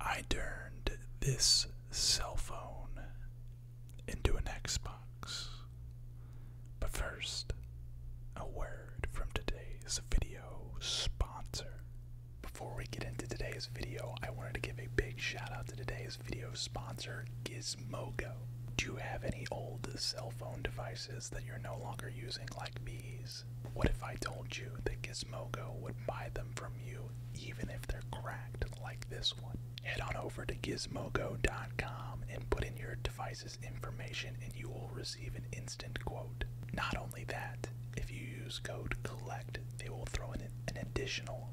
I turned this cell phone into an Xbox. But first, a word from today's video sponsor. Before we get into today's video, I wanted to give a big shout out to today's video sponsor, Gizmogo. Do you have any old cell phone devices that you're no longer using, like these? What if I told you that Gizmogo would buy them from you even if they're cracked like this one? Head on over to gizmogo.com and put in your device's information and you will receive an instant quote. Not only that, if you use code COLLECT, they will throw in an additional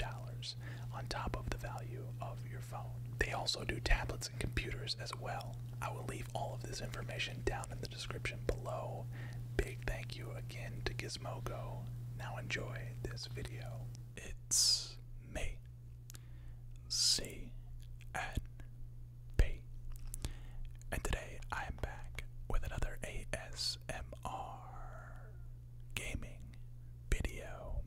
$5 on top of the value of your phone. They also do tablets computers as well. I will leave all of this information down in the description below. Big thank you again to Gizmogo. Now enjoy this video. It's me, C and and today I am back with another ASMR gaming video.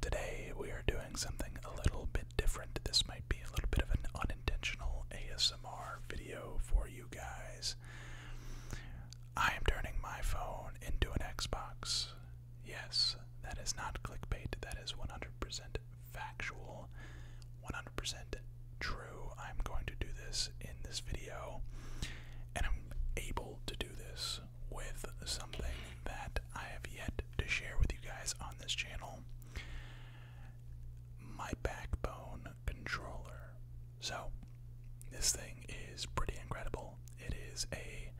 Today we are doing something a little bit different. This may be a little bit of an unintentional ASMR video for you guys. I am turning my phone into an Xbox. Yes, that is not clickbait, that is 100% factual, 100% true. I'm going to do this in this video, and I'm able to do this with something that I have yet to share with you guys on this channel my backbone controller. So, this thing is pretty incredible. It is a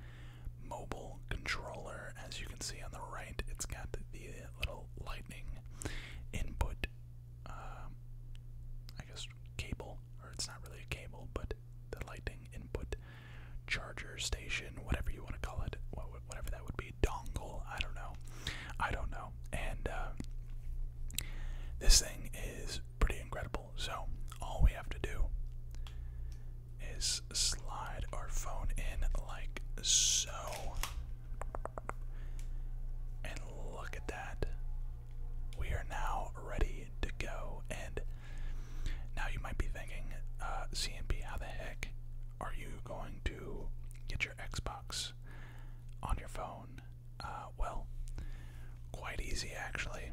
mobile controller. As you can see on the right, it's got the little lightning input, um, I guess, cable, or it's not really a cable, but the lightning input charger station, whatever you want to call it whatever that would be, dongle. I don't know. I don't know. And uh, this thing is pretty incredible. So all we have to do is slide our phone in like so. And look at that. We are now ready to go. And now you might be thinking, uh, CNP, how the heck are you going to get your Xbox on your phone? Uh, well, quite easy actually.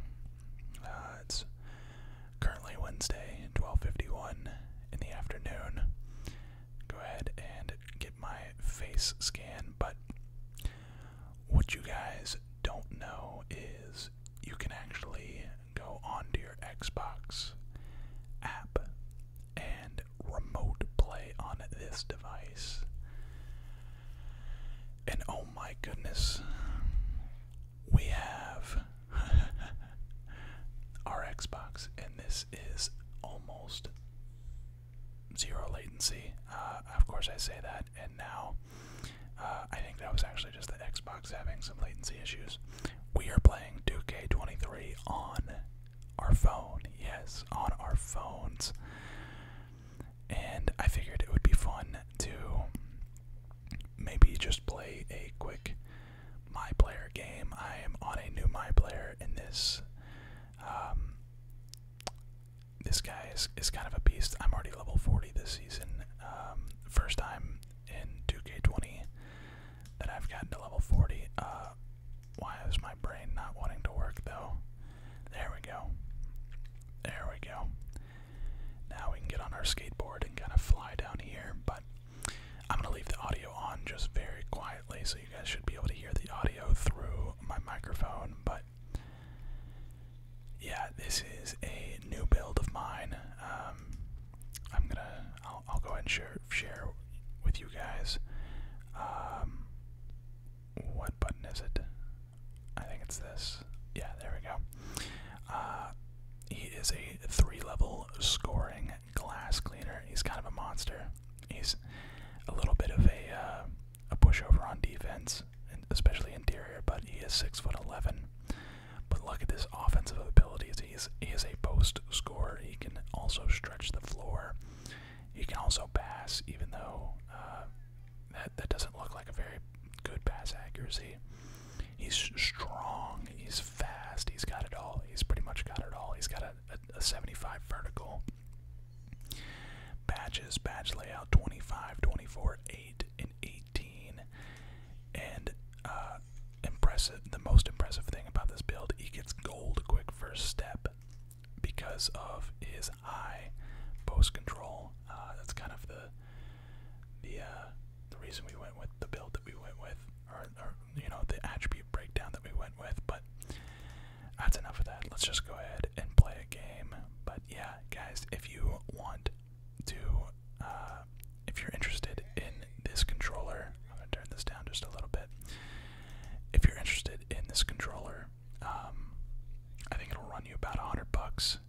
Uh, it's currently Wednesday, 12:51 in the afternoon. Go ahead and get my face scan, but what you guys don't know is you can actually go onto your Xbox app and remote play on this device. And oh my goodness, we have our Xbox, and this is almost zero latency. Uh, of course, I say that, and now uh, I think that was actually just the Xbox having some latency issues we are playing Duke k 23 on our phone. Yes, on our phones. And I figured it would be fun to maybe just play a quick my player game. I am on a new my player in this um, this guy is, is kind of a beast. I'm already level 40 this season. Um, first time in 2K20 that I've gotten to level 40. Uh, why is my brain not wanting to work though? There we go. There we go. Now we can get on our skateboard and kind of fly down here, but I'm going to leave the audio on just very quietly so you guys should be able to hear the audio through my microphone, but yeah, this is a new build of mine. Um, I'm gonna I'll, I'll go ahead and share share with you guys. Um, what button is it? I think it's this. Yeah, there we go. Uh, he is a three-level scoring glass cleaner. He's kind of a monster. He's a little bit of a uh, a pushover on defense, especially interior. But he is six foot eleven. But look at this offensive ability he's he is a post scorer. He can also stretch the floor. He can also pass, even though uh, that that doesn't look like a very good pass accuracy. He's strong. He's fast. He's got it all. He's pretty much got it all. He's got a, 75 vertical. Batches, batch layout 25, 24, 8, and 18. And uh, impressive, the most impressive thing about this build, he gets gold quick first step because of his high post control. Uh, that's kind of the the uh, the reason we went with the build that we went with, or, you know the attribute breakdown that we went with. But that's enough of that. Let's just go ahead and play a game. But yeah, guys, if you want to, uh, if you're interested in this controller, I'm going to turn this down just a little bit. If you're interested in this controller, um, I think it'll run you about a hundred bucks.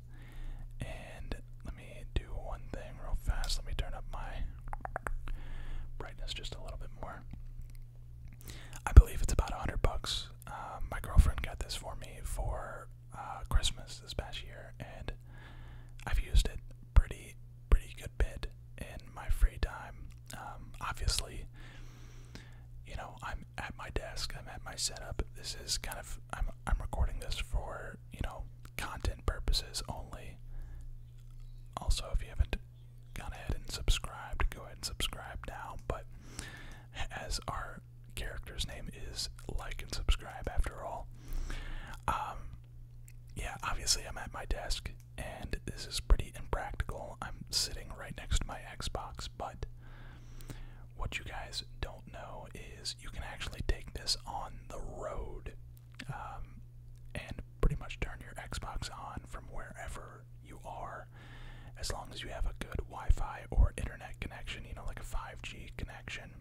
And let me do one thing real fast. Let me turn up my brightness just a little bit more. I believe it's about a hundred bucks. Uh, my girlfriend got this for me for uh, Christmas this past year, and I've used it pretty pretty good to in my free time. Um, obviously, you know, I'm at my desk, I'm at my setup. This is kind of, I'm, I'm recording this for, you know, content purposes only. Also, if you haven't gone ahead and subscribed, go ahead and subscribe now. But as our character's name is like and subscribe after all, um, yeah, obviously I'm at my desk, and this is pretty impractical. I'm sitting right next to my Xbox, but what you guys don't know is you can actually take this on the road um, and pretty much turn your Xbox on from wherever you are, as long as you have a good Wi Fi or internet connection, you know, like a 5G connection.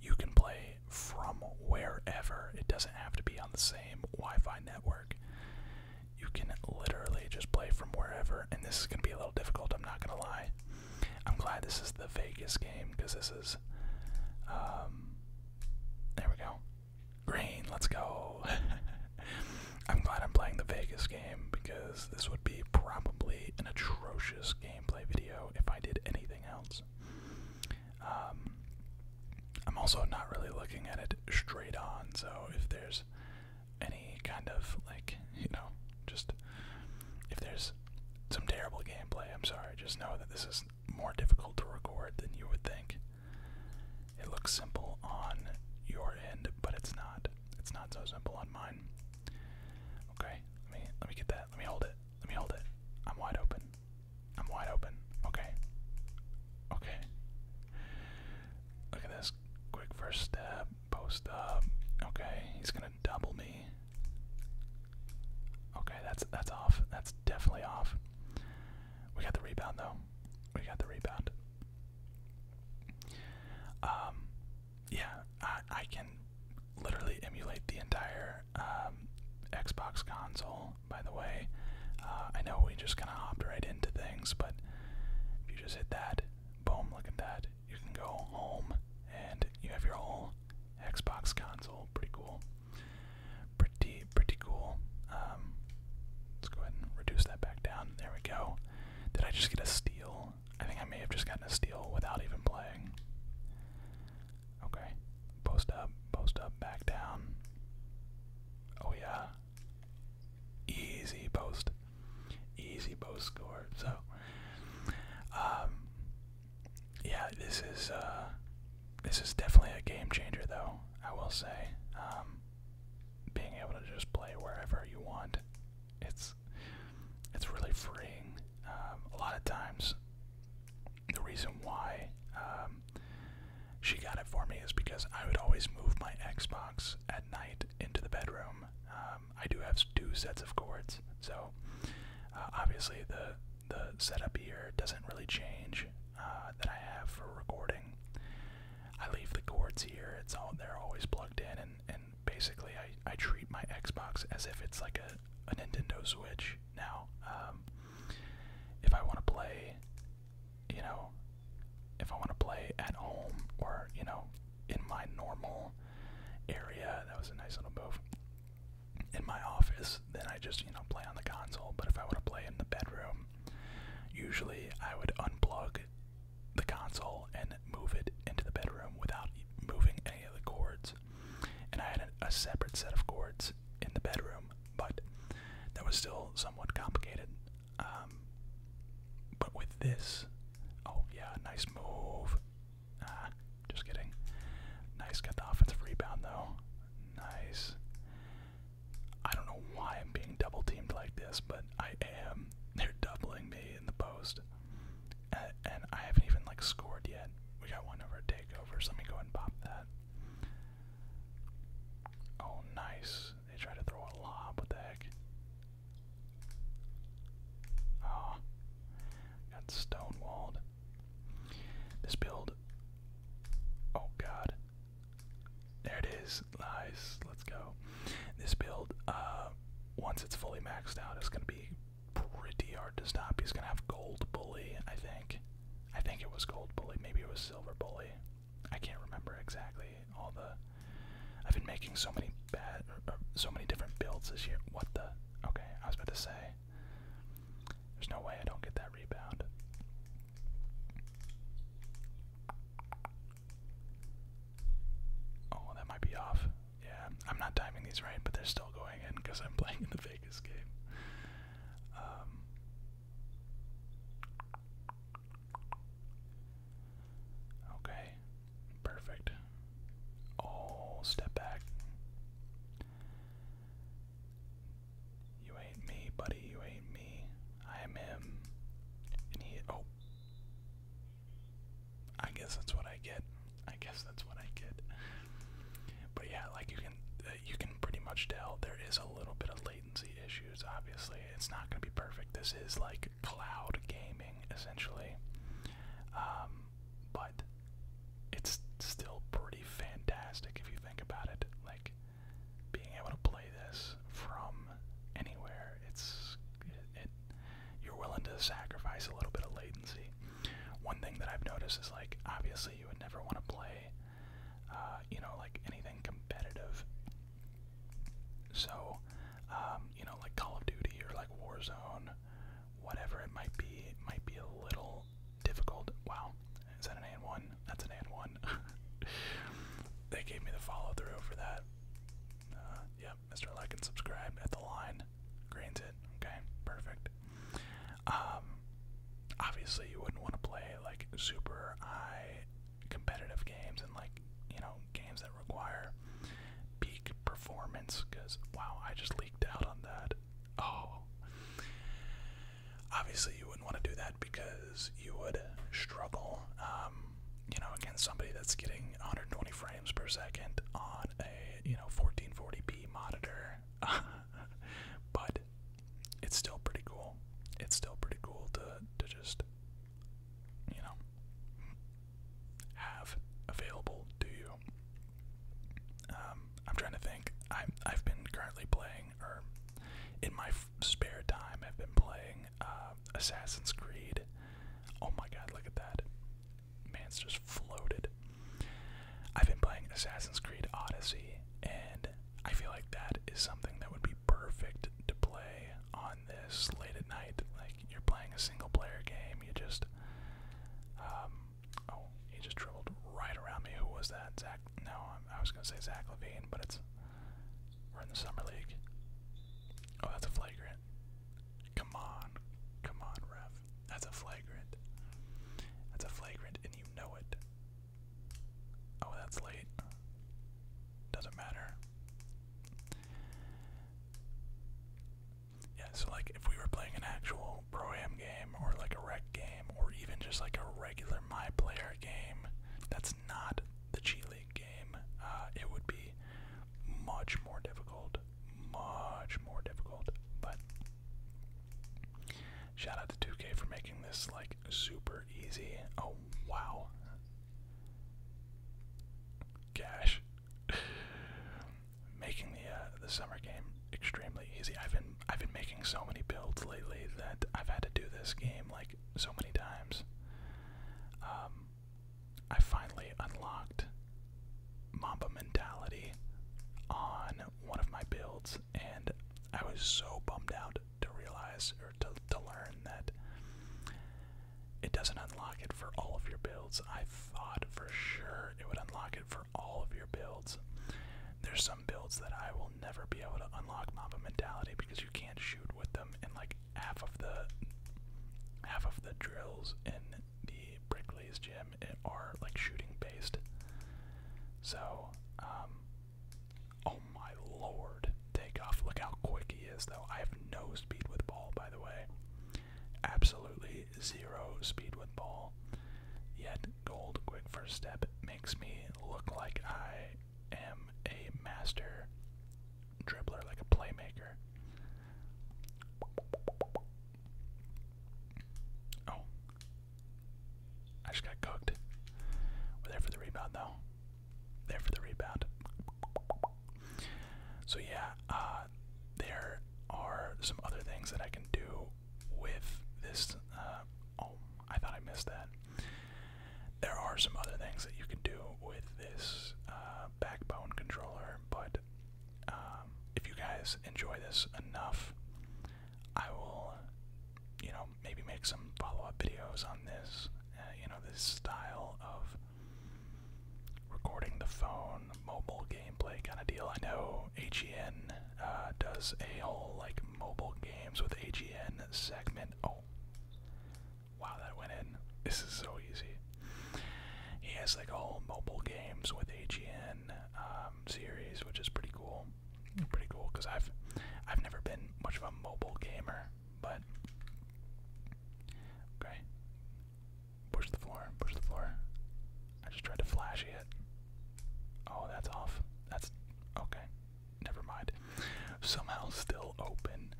You can play from wherever. It doesn't have to be on the same Wi-Fi network. You can literally just play from wherever, and this is going to be a little difficult. I'm not going to lie. I'm glad this is the Vegas game because this is. Um, there we go. Green, let's go. I'm glad I'm playing the Vegas game because this would be probably an atrocious gameplay video if I did anything else. Um, I'm also not really looking at it straight on, so if there's any kind of like, you know, just if there's some terrible gameplay, I'm sorry, just know that this is more difficult to record than you would think. It looks simple on your end, but it's not. It's not so simple on mine. Okay, let me let me get that. Let me hold it. Let me hold it. I'm wide open. I'm wide open. Okay. Okay. Look at this. Quick first step. Post up. Okay. He's gonna double me. Okay, that's that's off. That's definitely off. We got the rebound though. We got the rebound. Um, yeah, I, I can literally emulate the entire um, Xbox console by the way. Uh, I know we just kind of hopped right into things, but if you just hit that, boom, look at that. You can go home and you have your whole Xbox console. Pretty cool. Pretty, pretty cool. Um, let's go ahead and reduce that back down. There we go. Did I just get a steal? I think I may have just gotten a steal without even playing. Okay. Post up, post up, back down. Oh yeah. Easy post. Easy post score. So um yeah, this is uh this is definitely a game changer though, I will say. Um being able to just play wherever you want. It's it's really freeing. Um, a lot of times the reason why um, she got it for me is because I would always move my Xbox at night into the bedroom. Um, I do have two sets of cords, so uh, obviously the the setup here doesn't really change uh, that I have for recording. I leave the cords here; it's all they're always plugged in, and and basically I I treat my Xbox as if it's like a a Nintendo Switch now. Um, if I want to play, you know, if I want to play at home or, you know, in my normal area, that was a nice little move. In my office, then I just, you know, play on the console. But if I want to play in the bedroom, usually I would unplug the console and move it into the bedroom without moving any of the cords. And I had a, a separate set of cords in the bedroom but that was still somewhat complicated. Um, but with this, oh yeah, nice move. Ah, just kidding. Nice, got the offensive rebound though. Nice. I don't know why I'm being double teamed like this, but I am. They're doubling me in the post, and I haven't even like scored yet. We got one of our takeovers. Let me go and pop that. Oh, nice. They tried to throw a lob. What the heck? Oh, got stonewalled. This build. Oh, God. There it is. Nice. Let's go. This build, uh, once it's fully maxed out, it's going to be pretty hard to stop. He's going to have Gold Bully, I think. I think it was Gold Bully, maybe it was Silver Bully. I can't remember exactly all the. I've been making so many bad, or, so many different builds this year. What the? Okay, I was about to say. There's no way I don't get that rebound. Oh, that might be off. Yeah, I'm not timing these right, but they're still going in because I'm playing in the Vegas game. Um, Okay, perfect. Oh, step back. You ain't me, buddy. You ain't me. I am him. And he. Oh. I guess that's what I get. I guess that's what I get. But yeah, like you uh, you can pretty much tell there is a little bit of latency issues. Obviously, it's not going to be perfect. This is like cloud gaming essentially, um, but it's still pretty fantastic if you think about it. Like being able to play this from anywhere, it's it you're willing to sacrifice a little bit of latency. One thing that I've noticed is like obviously you would never want to play uh, you know, like anything competitive. So, um, you know, like Call of Duty or like Warzone, whatever it might be, it might be a little difficult. Wow, is that an and one? That's an and one. they gave me the follow through for that. Uh, yep, yeah, Mr. Like and subscribe at the line. Grains it. Okay, perfect. Um, obviously, you wouldn't want to play like super high competitive games and like you know games that require peak performance. Because wow, I just leaked out on that. Oh, obviously, you wouldn't want to do that because you would struggle. Um, you know, against somebody that's getting 120 frames per second on a you know 1440p monitor. but it's still pretty cool. It's still pretty cool to to just you know have available to you. Um, I'm trying to think. I I've been currently playing, or in my spare time, I've been playing uh, Assassin's Creed. Oh my God! Look at that. Man's just floated. I've been playing Assassin's Creed Odyssey, and I feel like that is something that would be perfect to play on this late at night. Like you're playing a single player game, you just um, oh, he just dribbled right around me. Who was that? Zach? No, I was gonna say Zach Levine, but it's we're in the summer league. Oh, that's a flagrant. Come on, come on, ref. That's a flagrant. That's a flagrant, and you know it. Oh, that's late. Doesn't matter. Yeah, so like if we were playing an actual pro am game or like a rec game or even just like a regular my player game, that's not the G League game. Uh, it would be much more difficult, much more difficult. But Shout out to 2K for making this like super easy. Oh wow. gosh, making the uh, the summer game extremely easy. I've been I've been making so many builds lately that I've had to do this game like so many times. Um I finally unlocked Mamba mentality on one of my builds and I was so bummed out to realize or to, learn that it doesn't unlock it for all of your builds. I thought for sure it would unlock it for all of your builds. There's some builds that I will never be able to unlock Mamba mentality because you can't shoot with them and like half of the half of the drills in the Brickley's gym eh, are like shooting based. So, um, Oh my lord. Takeoff. Look how quick he is, though. I have no speed with ball, by the way. Absolutely zero speed with ball. Yet, gold quick first step makes me look like I am a master dribbler, like a playmaker. Oh, I just got cooked. We're there for the rebound, though. There for the rebound. So yeah, uh, there are some other things that I can do with this. Uh, oh, I thought I missed that. There are some other things that you can do with this uh, backbone controller, but um, if you guys enjoy this enough, I will you know, maybe make some follow-up videos on this. Uh, you know, this style of recording the phone, mobile gameplay kind of deal. I know AGN uh, does a whole like mobile games with AGN segment. Oh, wow, that went in. This is so easy. He has like a whole mobile games with AGN um, series, which is pretty cool pretty cool because I've I've never been much of a mobile gamer, but okay. Push the floor, push the floor. I just tried to flashy it. Oh, that's off. That's okay. Never mind. Somehow still open.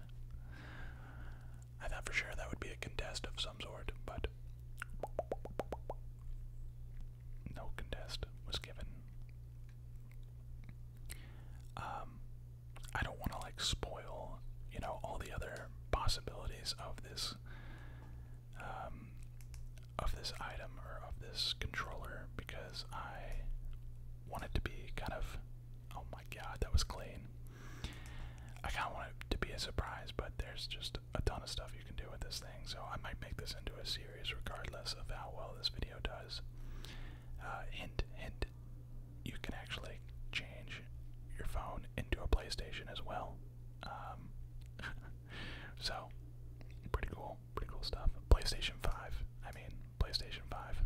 I thought for sure that would be a contest of some sort, but no contest was given. Um, I don't want to like spoil, you know, all the other possibilities of this, um, of this item or of this controller because I want it to be kind of. Oh my God, that was clean. I kind of want it to be a surprise, but there's just a ton of stuff you can do with this thing, so I might make this into a series regardless of how well this video does. Uh, hint, hint, you can actually change your phone into a PlayStation as well. Um, so, pretty cool, pretty cool stuff. PlayStation 5, I mean, PlayStation 5.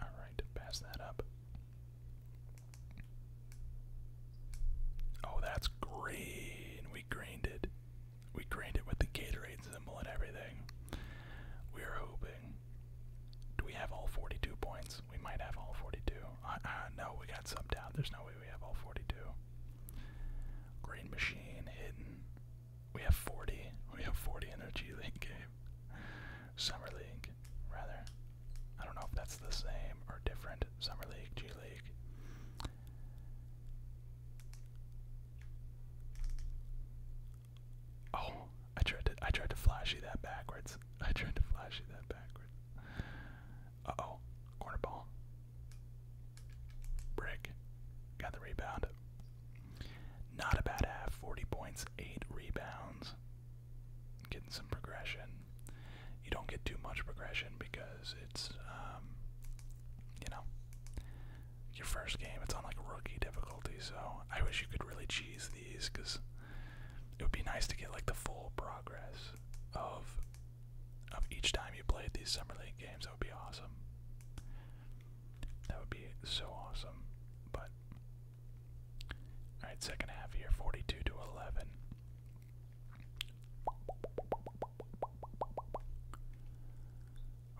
Alright, pass that up. Oh, that's green. We greened it. We grained it with the Gatorade symbol and everything. We are hoping. Do we have all 42 points? We might have all 42. Uh, uh, no, we got subbed out. There's no way we have all 42. Green machine hidden. We have 40. We have 40 in our G League Summer League, rather. I don't know if that's the same or different. Summer League, G League. Oh, I tried to I tried to flashy that backwards. I tried to flash you that backwards. Uh oh, corner ball. Brick. Got the rebound. Not a bad half. 40 points, 8 rebounds. Getting some progression. You don't get too much progression because it's um, you know your first game. It's on like rookie difficulty, so I wish you could really cheese these because it would be nice to get like the full progress of of each time you played these summer league games. That would be awesome. That would be so awesome. But all right, second half here, 42 to 11.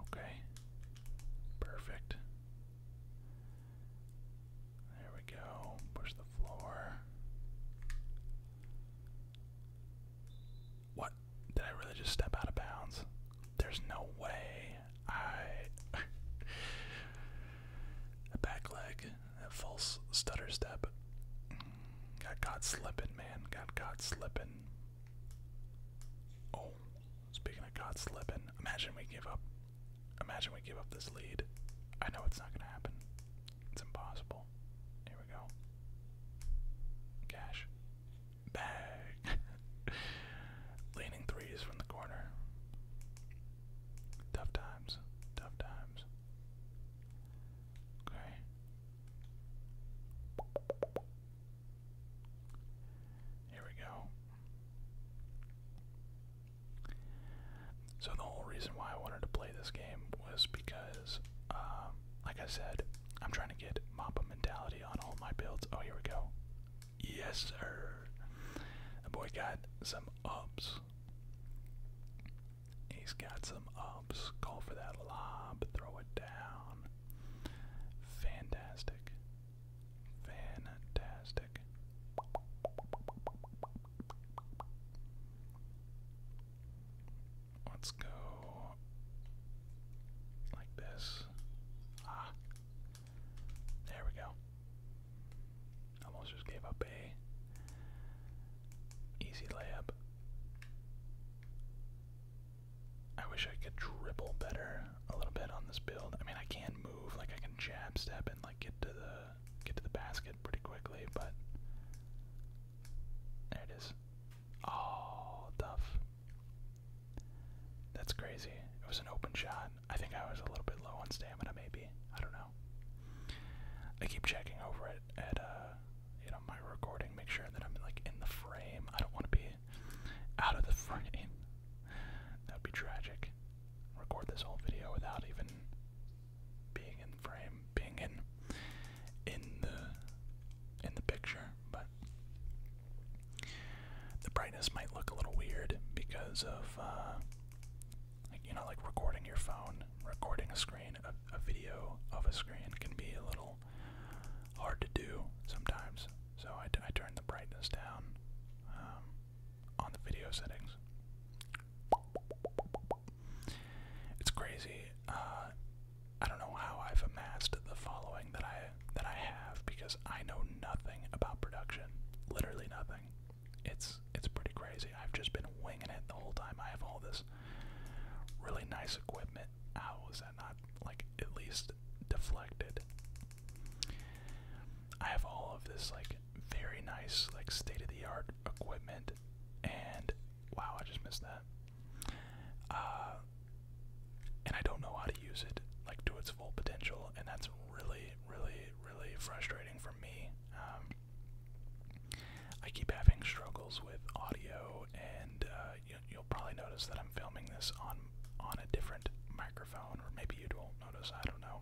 Okay. Perfect. There we go. Push the floor. What? Did I really just step out of bounds? There's no way. I. a back leg, a false stutter step. Got caught slipping, man. Got caught slipping. Oh, speaking of caught slipping, imagine we give up. Imagine we give up this lead. I know it's not gonna happen. It's impossible. Here we go. Cash. Bag. Leaning threes from the corner. Tough times. Tough times. Okay. Here we go. So the whole reason why I wanted to play this game was because, um, like I said, I'm trying to get Mappa mentality on all my builds. Oh, here we go. Yes, sir. The boy got some ups. He's got some ups. Call for that lob. Throw it down. Fantastic. Fantastic. Let's go like this. Ah. There we go. Almost just gave up a easy layup. I wish I could dribble better a little bit on this build. I mean, I can move, like I can jab step and like get to the get to the basket pretty quickly, but there it is. Oh, tough. That's crazy. It was an open shot. I think I was a little bit low on stamina, maybe. I don't know. I keep checking over it at uh, you know, my recording, make sure that I'm like in the frame. I don't want to be out of the frame. That'd be tragic. Record this whole video without even being in the frame, being in in the in the picture, but the brightness might look a little weird because of uh, you know like recording your phone, recording a screen, a, a video of a screen can be a little hard to do sometimes, so I, I turn the brightness down um, on the video settings. It's crazy. Uh, I don't know how I've amassed the following that I that I have because I know nothing about production. Literally nothing. It's it's pretty crazy. I've just been winging it the whole time. I have all this really nice equipment how was that not like at least deflected? I have all of this like very nice like state of the art equipment and wow, I just missed that. Uh, and I don't know how to use it like to its full potential and that's really really really frustrating for me. Um, I keep having struggles with audio and uh, you'll probably notice that I'm filming this on on a different microphone, or maybe you do not notice. I don't know.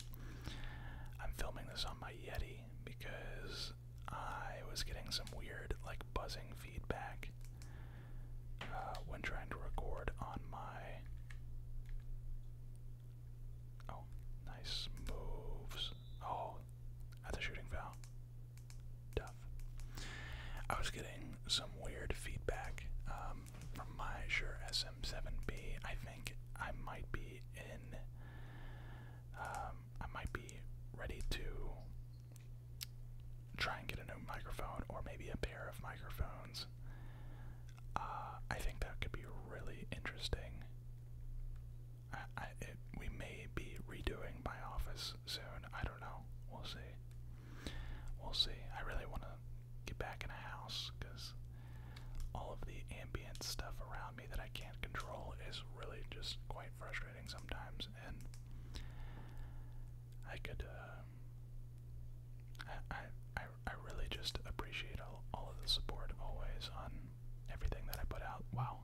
I'm filming this on my Yeti because I was getting some weird, like buzzing feedback uh, when trying to record on my. Oh, nice moves. Oh, that's a shooting foul tough. I was getting some weird feedback um, from my Sure SM7B. I think I might be in. Um, I might be ready to try and get a new microphone or maybe a pair of microphones. Uh, I think that could be really interesting. we may be redoing my office soon. I don't know. We'll see. We'll see. I really want to get back in a house because all of the ambient stuff around me that I can't control is really just quite frustrating sometimes. And I could, uh, I, I, I really just appreciate all, all of the support always on everything that I put out. Wow,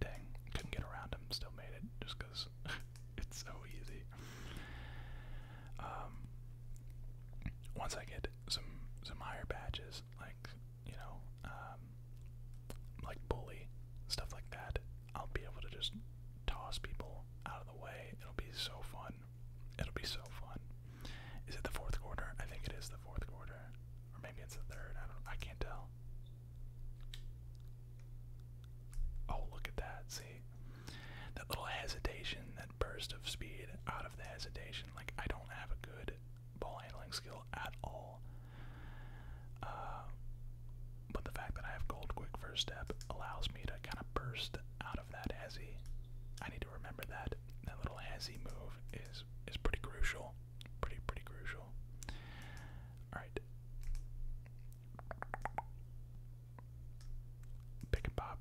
Dang, couldn't get around him, still made it just because it's so easy. Um, once I get some some higher badges, like you know, um, like bully stuff like that, I'll be able to just toss people out of the way. It'll be so fun. It'll be so fun. Is it the fourth quarter? I think it is the fourth quarter, or maybe it's the third. I don't. I can't tell. Oh, look at that. See? That little hesitation, that burst of speed out of the hesitation. Like, I don't have a good ball handling skill at all. Uh, but the fact that I have gold quick first step allows me to kind of burst out of that hezzy. I need to remember that. That little hezzy move is is pretty crucial. Pretty, pretty crucial. Alright. Pick and pop.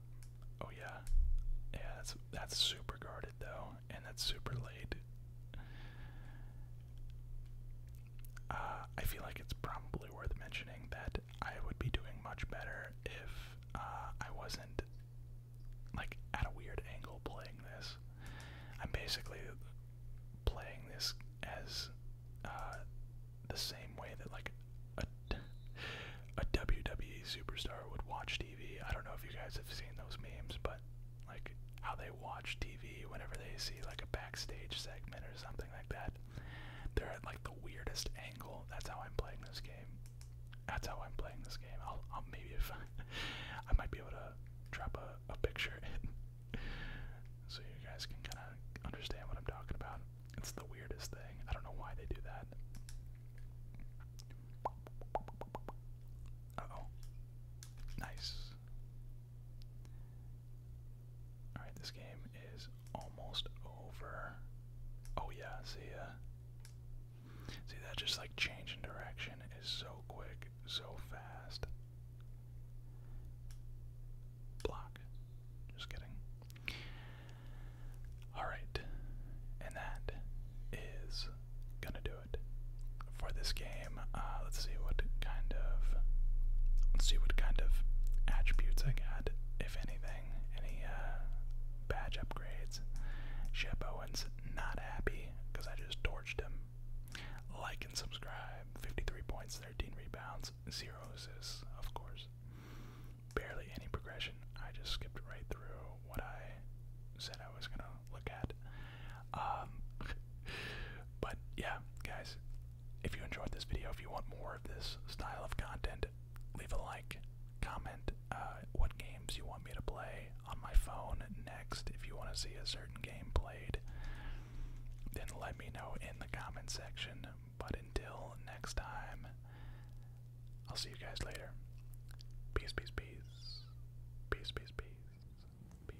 Oh yeah. Yeah, that's that's super guarded though, and that's super late. Uh, I feel like it's probably worth mentioning that I would be doing much better if uh, I wasn't like at a weird angle playing this. I'm basically playing this as uh, the same way that like a, a WWE superstar would watch TV. I don't know if you guys have seen those memes, but like how they watch TV whenever they see like a backstage segment or something like that. They're at like the weirdest angle. That's how I'm playing this game. That's how I'm playing this game. I'll, maybe if I, might be able to drop a, a picture so you guys can kind of understand what I'm talking about. It's the weirdest thing. I don't know why they do that. oh. Nice. Alright, this game is almost over. Oh yeah, see ya. See that just like change direction is so quick so fast. Block. Just kidding. Alright. And that is gonna do it for this game. Uh, let's see what kind of let's see what kind of attributes I got, if anything. Any uh, badge upgrades. Shep Owens not happy because I just torched him. Like and subscribe. 53.6 13 rebounds, 0 assists, of course. Barely any progression. I just skipped right through what I said I was going to look at. Um, but yeah, guys, if you enjoyed this video, if you want more of this style of content, leave a like, comment uh, what games you want me to play on my phone next. If you want to see a certain game played, then let let me know in the comment section. But until next time, I'll see you guys later. Peace, peace, peace. Peace, peace, peace. Peace.